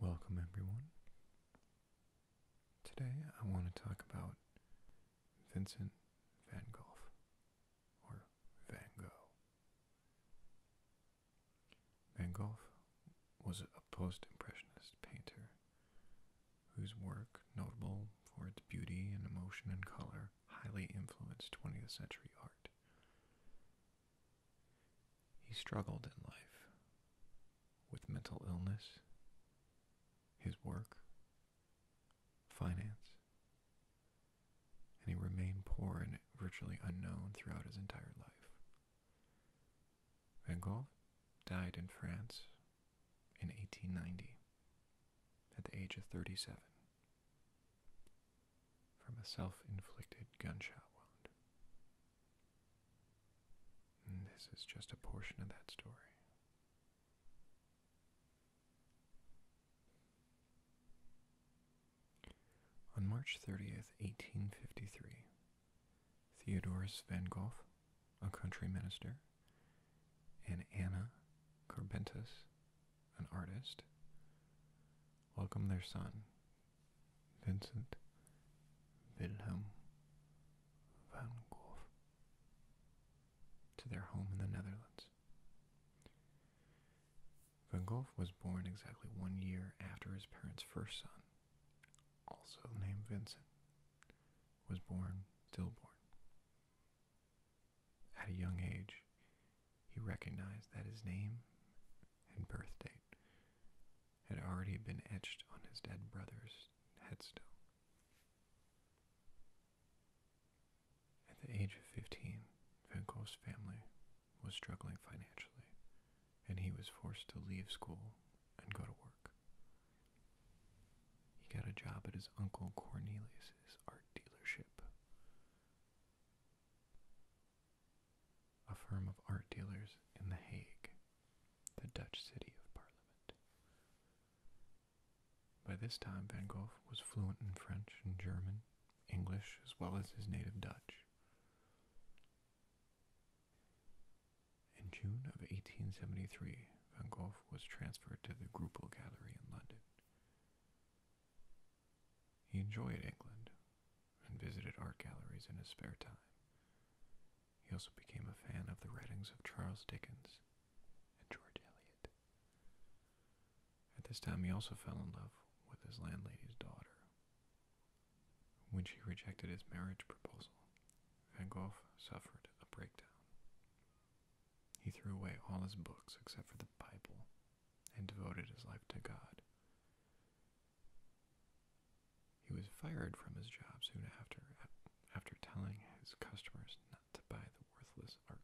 Welcome, everyone. Today I want to talk about Vincent van Gogh, or Van Gogh. Van Gogh was a post impressionist painter whose work, notable for its beauty and emotion and color, highly influenced 20th century art. He struggled in life with mental illness, his work, finance, and he remained poor and virtually unknown throughout his entire life. Van Gogh died in France in 1890 at the age of 37 from a self-inflicted gunshot wound. Mm, this is just a portion of that story. On March 30th, 1853, Theodorus Van Gogh, a country minister, and Anna Carbentus, an artist, welcomed their son, Vincent Wilhelm van Gogh to their home in the Netherlands. Van Gogh was born exactly one year after his parents' first son, also named Vincent, was born stillborn. At a young age, he recognized that his name and birth date had already been etched on his dead brother's headstone. At the age of 15, Van Gogh's family was struggling financially, and he was forced to leave school and go to work. He got a job at his uncle Cornelius's art dealership a firm of art dealers in The Hague, the Dutch city of parliament. By this time, Van Gogh was fluent in French and German, English, as well as his native Dutch. In June of 1873, Van Gogh was transferred to the Groupel Gallery in London. He enjoyed England, and visited art galleries in his spare time. He also became a fan of the writings of Charles Dickens and George Eliot. At this time, he also fell in love with his landlady's daughter. When she rejected his marriage proposal, Van Gogh suffered a breakdown. He threw away all his books except for the Bible and devoted his life to God. He was fired from his job soon after, after telling his customers not to buy the worthless art.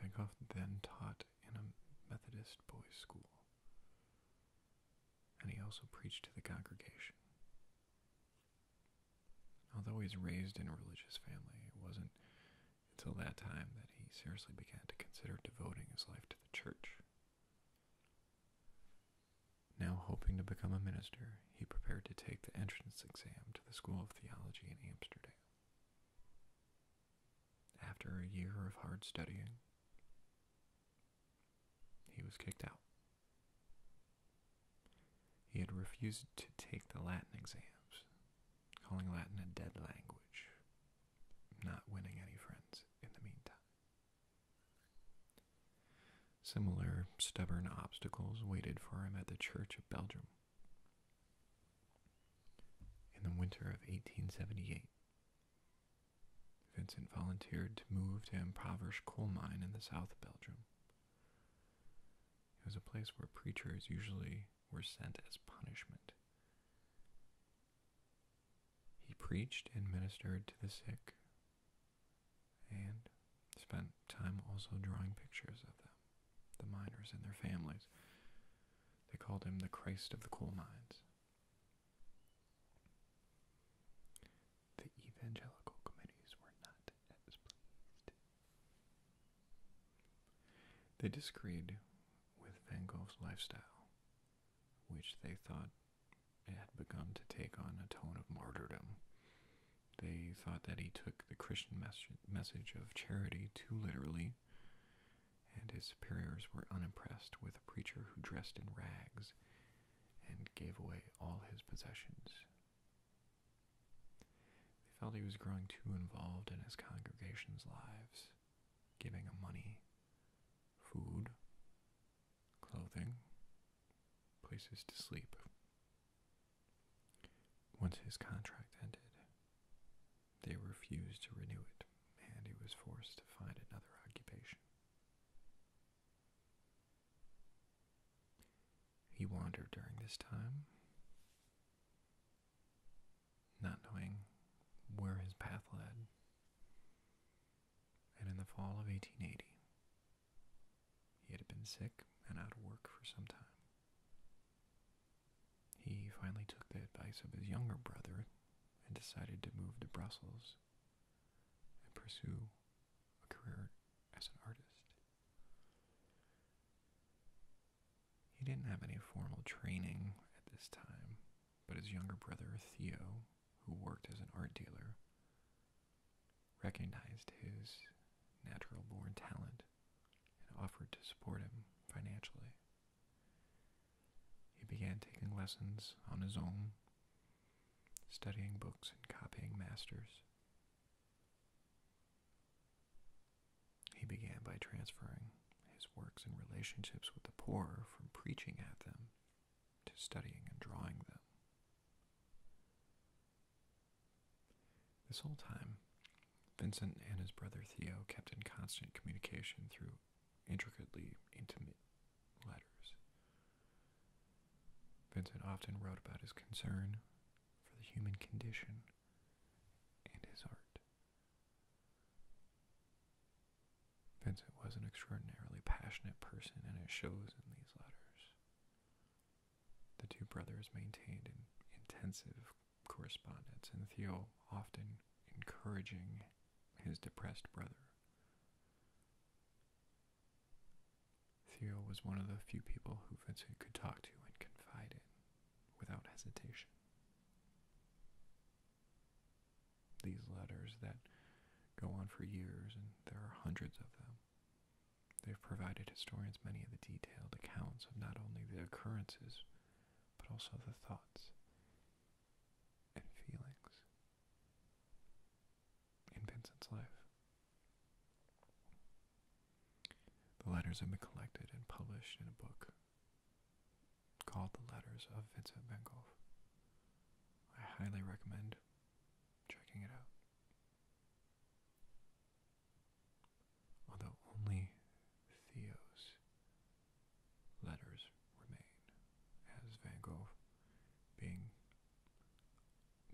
Vankoff then taught in a Methodist boys' school, and he also preached to the congregation. Although he was raised in a religious family, it wasn't until that time that he seriously began to consider devoting his life to the church. Now hoping to become a minister, he prepared to take the entrance exam to the School of Theology in Amsterdam. After a year of hard studying, he was kicked out. He had refused to take the Latin exams, calling Latin a dead language, not winning any friends in the meantime. Similar stubborn obstacles waited for him at the Church of Belgium. In the winter of 1878, Vincent volunteered to move to an impoverished coal mine in the south of Belgium. It was a place where preachers usually were sent as punishment. He preached and ministered to the sick and spent time also drawing pictures of them, the miners and their families. They called him the Christ of the coal mines. The evangelical committees were not as pleased they disagreed with Van Gogh's lifestyle, which they thought had begun to take on a tone of martyrdom. They thought that he took the Christian message of charity too literally, and his superiors were unimpressed with a preacher who dressed in rags and gave away all his possessions they felt he was growing too involved in his congregation's lives, giving them money, food, clothing, places to sleep. Once his contract ended, they refused to renew it, and he was forced to find another occupation. He wandered during this time, not knowing where his path led. And in the fall of 1880, he had been sick and out of work for some time. He finally took the advice of his younger brother and decided to move to Brussels and pursue a career as an artist. He didn't have any formal training at this time, but his younger brother, Theo, who worked as an art dealer, recognized his natural born talent and offered to support him financially. He began taking lessons on his own, studying books and copying masters. He began by transferring his works and relationships with the poor from preaching at them to studying and drawing them. This whole time, Vincent and his brother Theo kept in constant communication through intricately intimate letters. Vincent often wrote about his concern for the human condition and his art. Vincent was an extraordinarily passionate person, and it shows in these letters. The two brothers maintained an intensive correspondence, and Theo often encouraging his depressed brother. Theo was one of the few people who Vincent could talk to and confide in without hesitation. These letters that go on for years, and there are hundreds of them, they've provided historians many of the detailed accounts of not only the occurrences, but also the thoughts and feelings in Vincent's life. The letters have been collected and published in a book called The Letters of Vincent van Gogh. I highly recommend checking it out. Although only Theo's letters remain, as Van Gogh being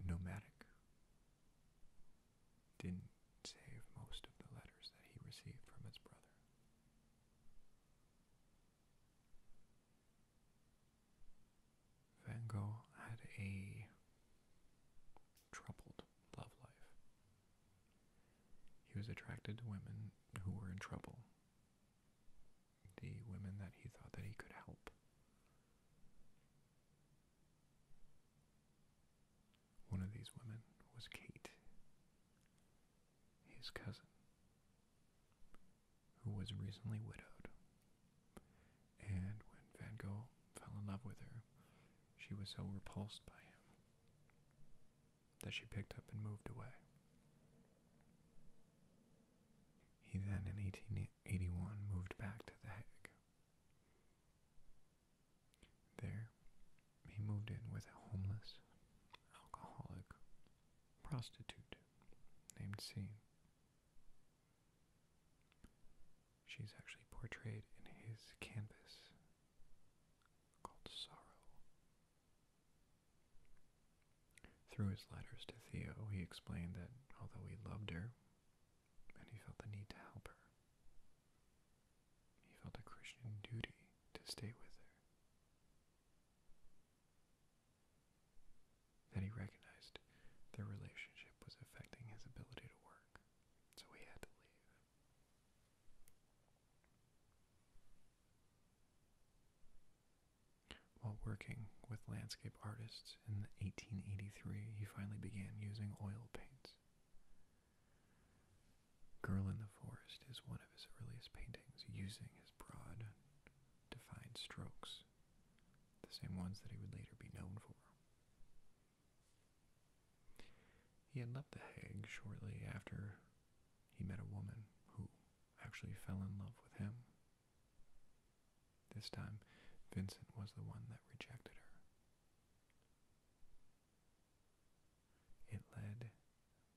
nomadic didn't save most of the letters that he received from his brother. Van Gogh had a troubled love life. He was attracted to women who were in trouble, the women that he thought that he could help. One of these women was Kate, his cousin, who was recently widowed. And when Van Gogh fell in love with her, she was so repulsed by him that she picked up and moved away. He then, in 1881, moved back to The Hague, there, he moved in with a homeless, alcoholic prostitute named C. She's actually portrayed in his canvas called Sorrow. Through his letters to Theo, he explained that although he loved her, and he felt the need to help her. He felt a Christian duty to stay with her. Then he recognized their relationship was affecting his ability to work, so he had to leave. While working with landscape artists in 1883, he finally began using oil paints. Girl in the Forest is one of his earliest paintings using his broad, defined strokes, the same ones that he would later be known for. He had left The Hague shortly after he met a woman who actually fell in love with him. This time, Vincent was the one that rejected her. It led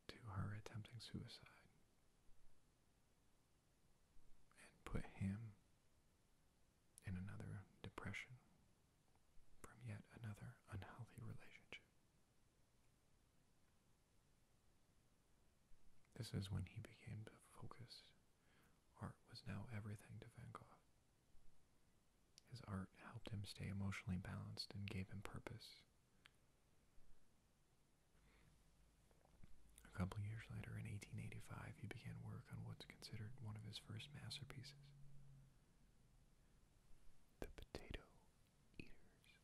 to her attempting suicide and put him in another depression from yet another unhealthy relationship. This is when he became focused. Art was now everything to Van Gogh. His art helped him stay emotionally balanced and gave him purpose. A couple years later, in 1885, he began work on what's considered one of his first masterpieces The Potato Eaters.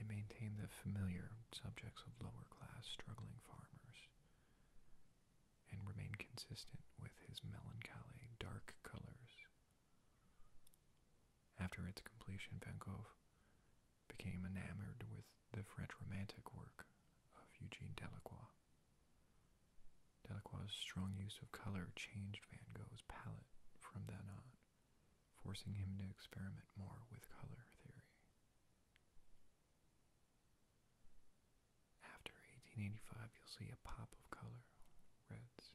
It maintained the familiar subjects of lower class struggling farmers and remain consistent with his melancholy dark colors. After its completion, Van Gogh became enamored with the French Romantic work of Eugene Delacroix. Delacroix's strong use of color changed Van Gogh's palette from that on, forcing him to experiment more with color theory. After 1885, you'll see a pop of color reds,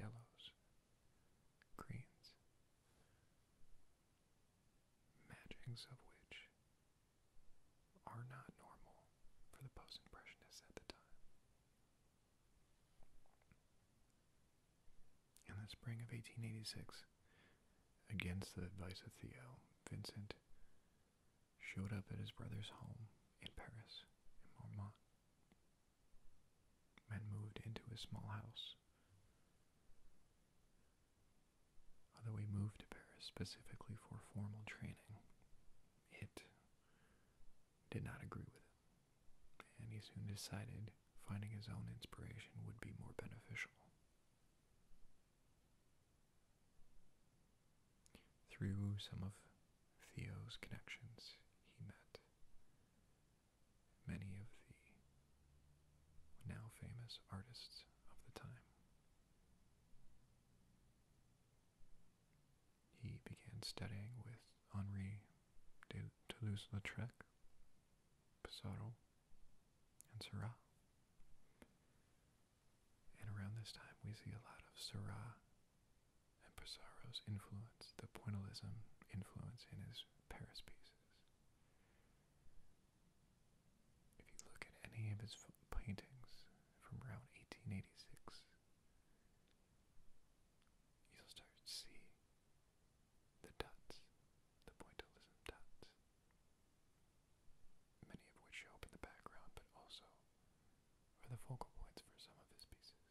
yellows, greens, matchings of which are not normal for the post impressionists at the time. In the spring of 1886, against the advice of Theo, Vincent showed up at his brother's home in Paris, in Marmont, and moved into a small house. Although he moved to Paris specifically for formal training, it did not agree with him, and he soon decided finding his own inspiration would be more beneficial. Through some of Theo's connections, he met many of the now famous artists of the time. He began studying with Henri de Toulouse-Lautrec Pizarro, and Seurat. And around this time, we see a lot of Seurat and Pizarro's influence, the pointillism influence in his Paris pieces. If you look at any of his paintings from around 1886, you'll start to see the dots, the pointillism dots many of which show up in the background but also are the focal points for some of his pieces.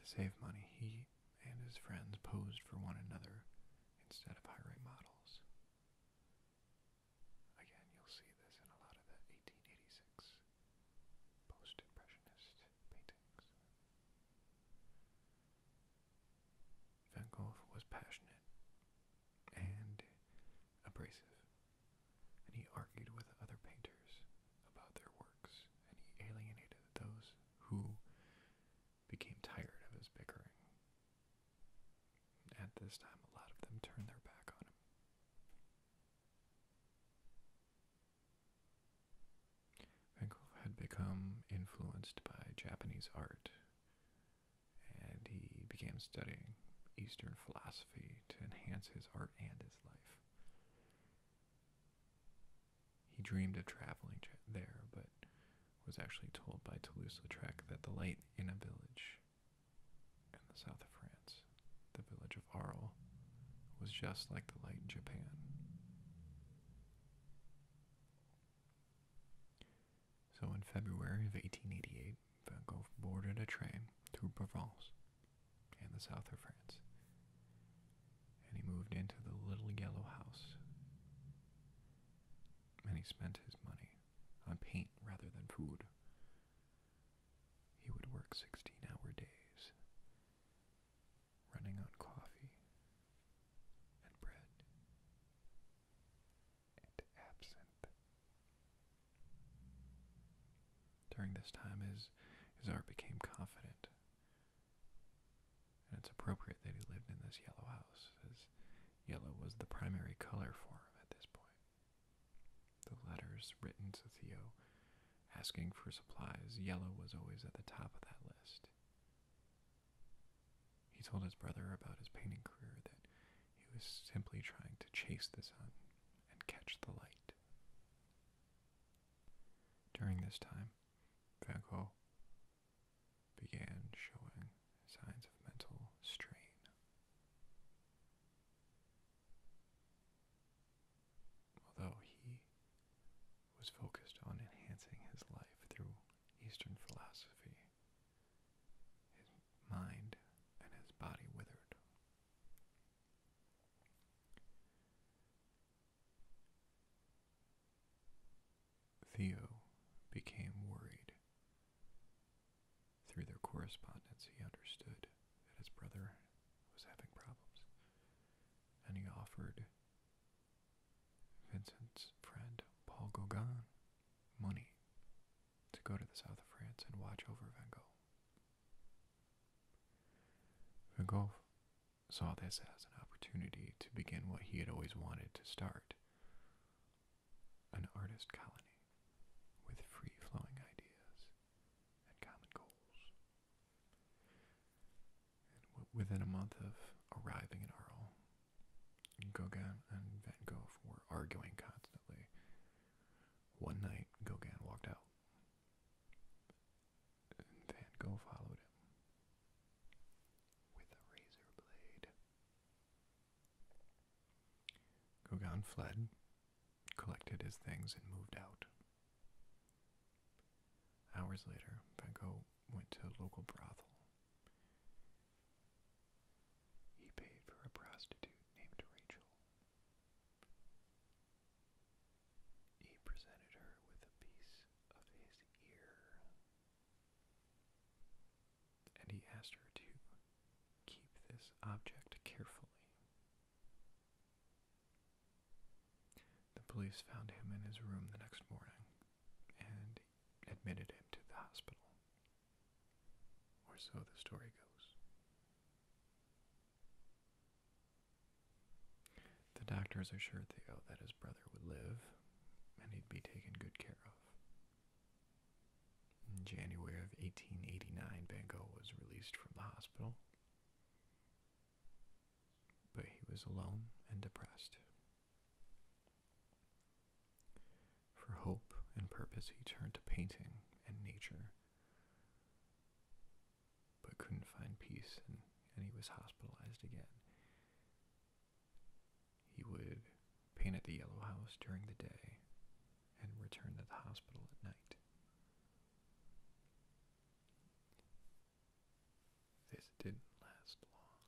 To save money, he and his friends posed for one another instead of hiring models. Again, you'll see this in a lot of the 1886 post-impressionists. Van Gogh was passionate and abrasive, and he argued with other painters about their works, and he alienated those who became tired of his bickering. At this time, a lot of them turned their back on him. Van had become influenced by Japanese art, and he began studying Eastern philosophy to enhance his art and his life. He dreamed of traveling there, but was actually told by Toulouse-Lautrec that the light in a village in the south of France, the village of Arles, was just like the light in Japan. So in February of 1888, Van Gogh boarded a train through Provence in the south of France, and he moved into the little yellow house. And he spent his money on paint rather than food. He would work 16 hour days running on coffee and bread and absinthe. During this time, his, his art became confident. And it's appropriate that he lived in this yellow house, as yellow was the primary color for him at this point. The letters written to Theo asking for supplies, yellow was always at the top of that list. He told his brother about his painting career that he was simply trying to chase the sun and catch the light. During this time, Van Gogh began showing signs of mental strain although he was focused on enhancing his life through Eastern philosophy. His mind and his body withered. Theo became worried. Through their correspondence, he understood that his brother was having problems, and he offered Vincent's friend Paul Gauguin money to go to the south of France and watch over Van Gogh. Van Gogh saw this as an opportunity to begin what he had always wanted to start an artist colony with free flowing ideas and common goals within a month of arriving in Arles, Gauguin and Van Gogh were arguing constantly. One night, Gauguin walked out. And Van Gogh followed him with a razor blade. Gauguin fled, collected his things, and moved out Hours later, Van went to a local brothel. He paid for a prostitute named Rachel. He presented her with a piece of his ear. And he asked her to keep this object carefully. The police found him in his room the next morning and admitted him to the hospital. Or so the story goes. The doctors assured Theo that his brother would live and he'd be taken good care of. In January of 1889, Van was released from the hospital but he was alone and depressed. For hope and purpose, he turned to painting and nature, but couldn't find peace, and, he was hospitalized again. He would paint at the Yellow House during the day and return to the hospital at night. This didn't last long.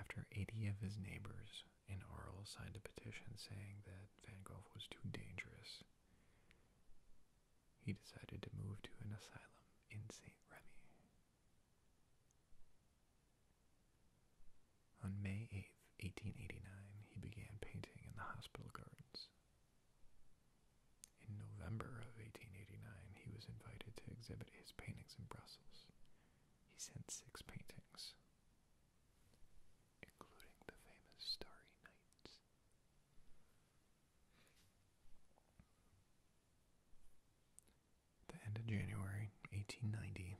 After 80 of his neighbors in Arles signed a petition saying that Van Gogh was too dangerous, he decided to move to an asylum in St. Remy. On May 8, 1889, he began painting in the hospital gardens. In November of 1889, he was invited to exhibit his paintings in Brussels. He sent six paintings, including the famous Starry Night. The end of January 1890,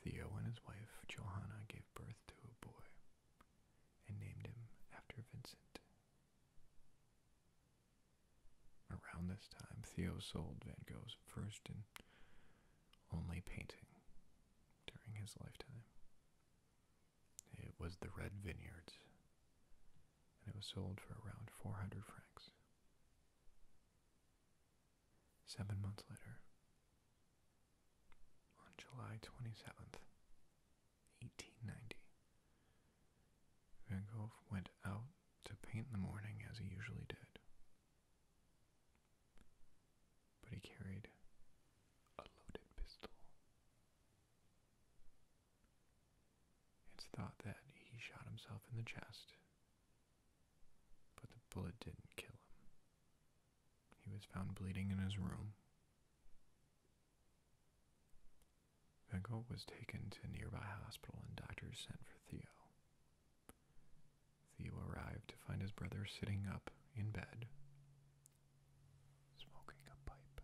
Theo and his wife Johanna gave birth to a boy and named him after Vincent. Around this time, Theo sold Van Gogh's first and only painting during his lifetime. It was the Red Vineyards, and it was sold for around 400 francs. Seven months later, on July 27th, 1890. Van Gogh went out to paint in the morning as he usually did, but he carried a loaded pistol. It's thought that he shot himself in the chest, but the bullet didn't kill him. He was found bleeding in his room. Van was taken to a nearby hospital and doctors sent for Theo. Theo arrived to find his brother sitting up in bed, smoking a pipe.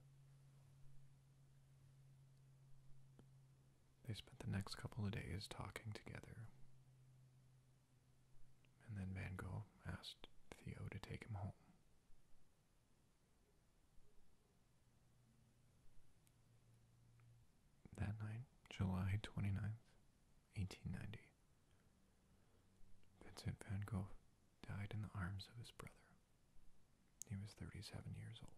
They spent the next couple of days talking together. And then Van Gogh asked Theo to take him home. That night, July 29th, 1890, Vincent van Gogh died in the arms of his brother. He was 37 years old.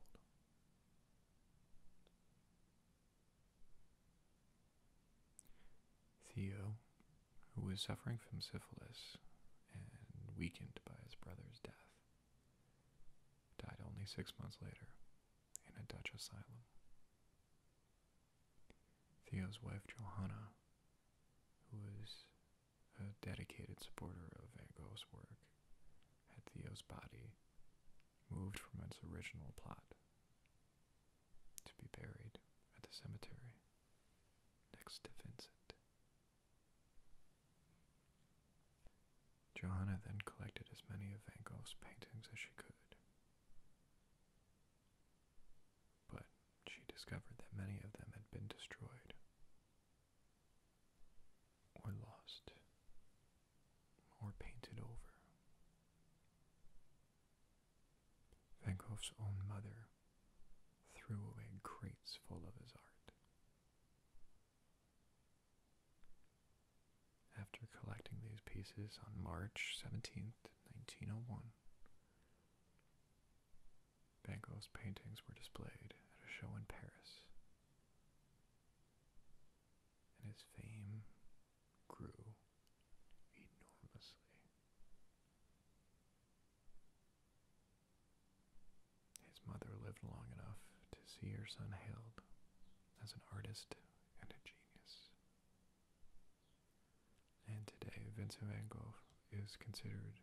Theo who was suffering from syphilis and weakened by his brother's death, died only six months later in a Dutch asylum. Theo's wife Johanna, who was a dedicated supporter of Van Gogh's work, had Theo's body moved from its original plot to be buried at the cemetery next to Vincent. Johanna then collected as many of Van Gogh's paintings as she could. But she discovered that many of them had been destroyed or lost or painted over. Van Gogh's own mother threw away crates full of his art. After collecting these pieces on March 17, 1901, Van Gogh's paintings were displayed at a show in Paris, and his fame grew enormously. His mother lived long enough to see her son hailed as an artist and a genius. And today, Vincent van Gogh is considered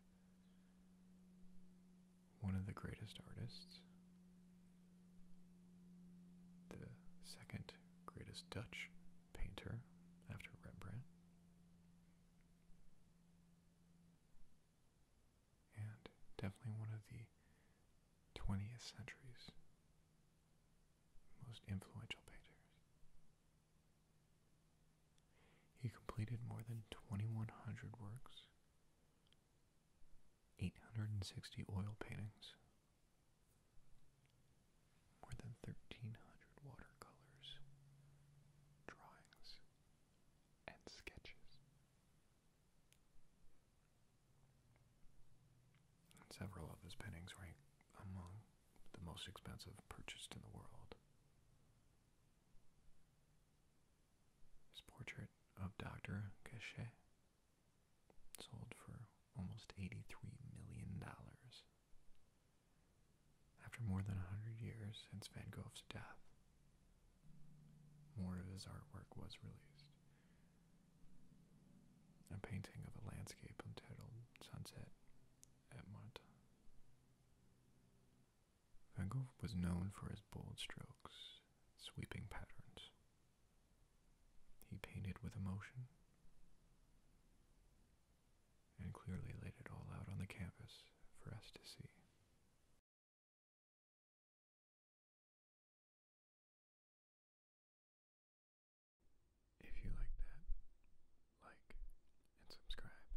one of the greatest artists, the second greatest Dutch painter after Rembrandt. And definitely one of the 20th century's most influential painters. He completed more than 2,100 works, 860 oil paintings, more than 1,300 watercolors, drawings, and sketches. several of his paintings rank among the most expensive purchased in the world. His portrait of Dr. Cachet sold for almost $83 million after more than a hundred years since Van Gogh's death, more of his artwork was released. A painting of a landscape entitled Sunset at Mont. Van Gogh was known for his bold strokes, sweeping patterns. He painted with emotion and clearly laid it all out on the canvas for us to see. If you like that, like and subscribe,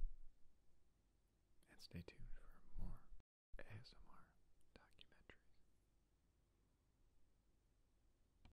and stay tuned for more ASMR documentaries.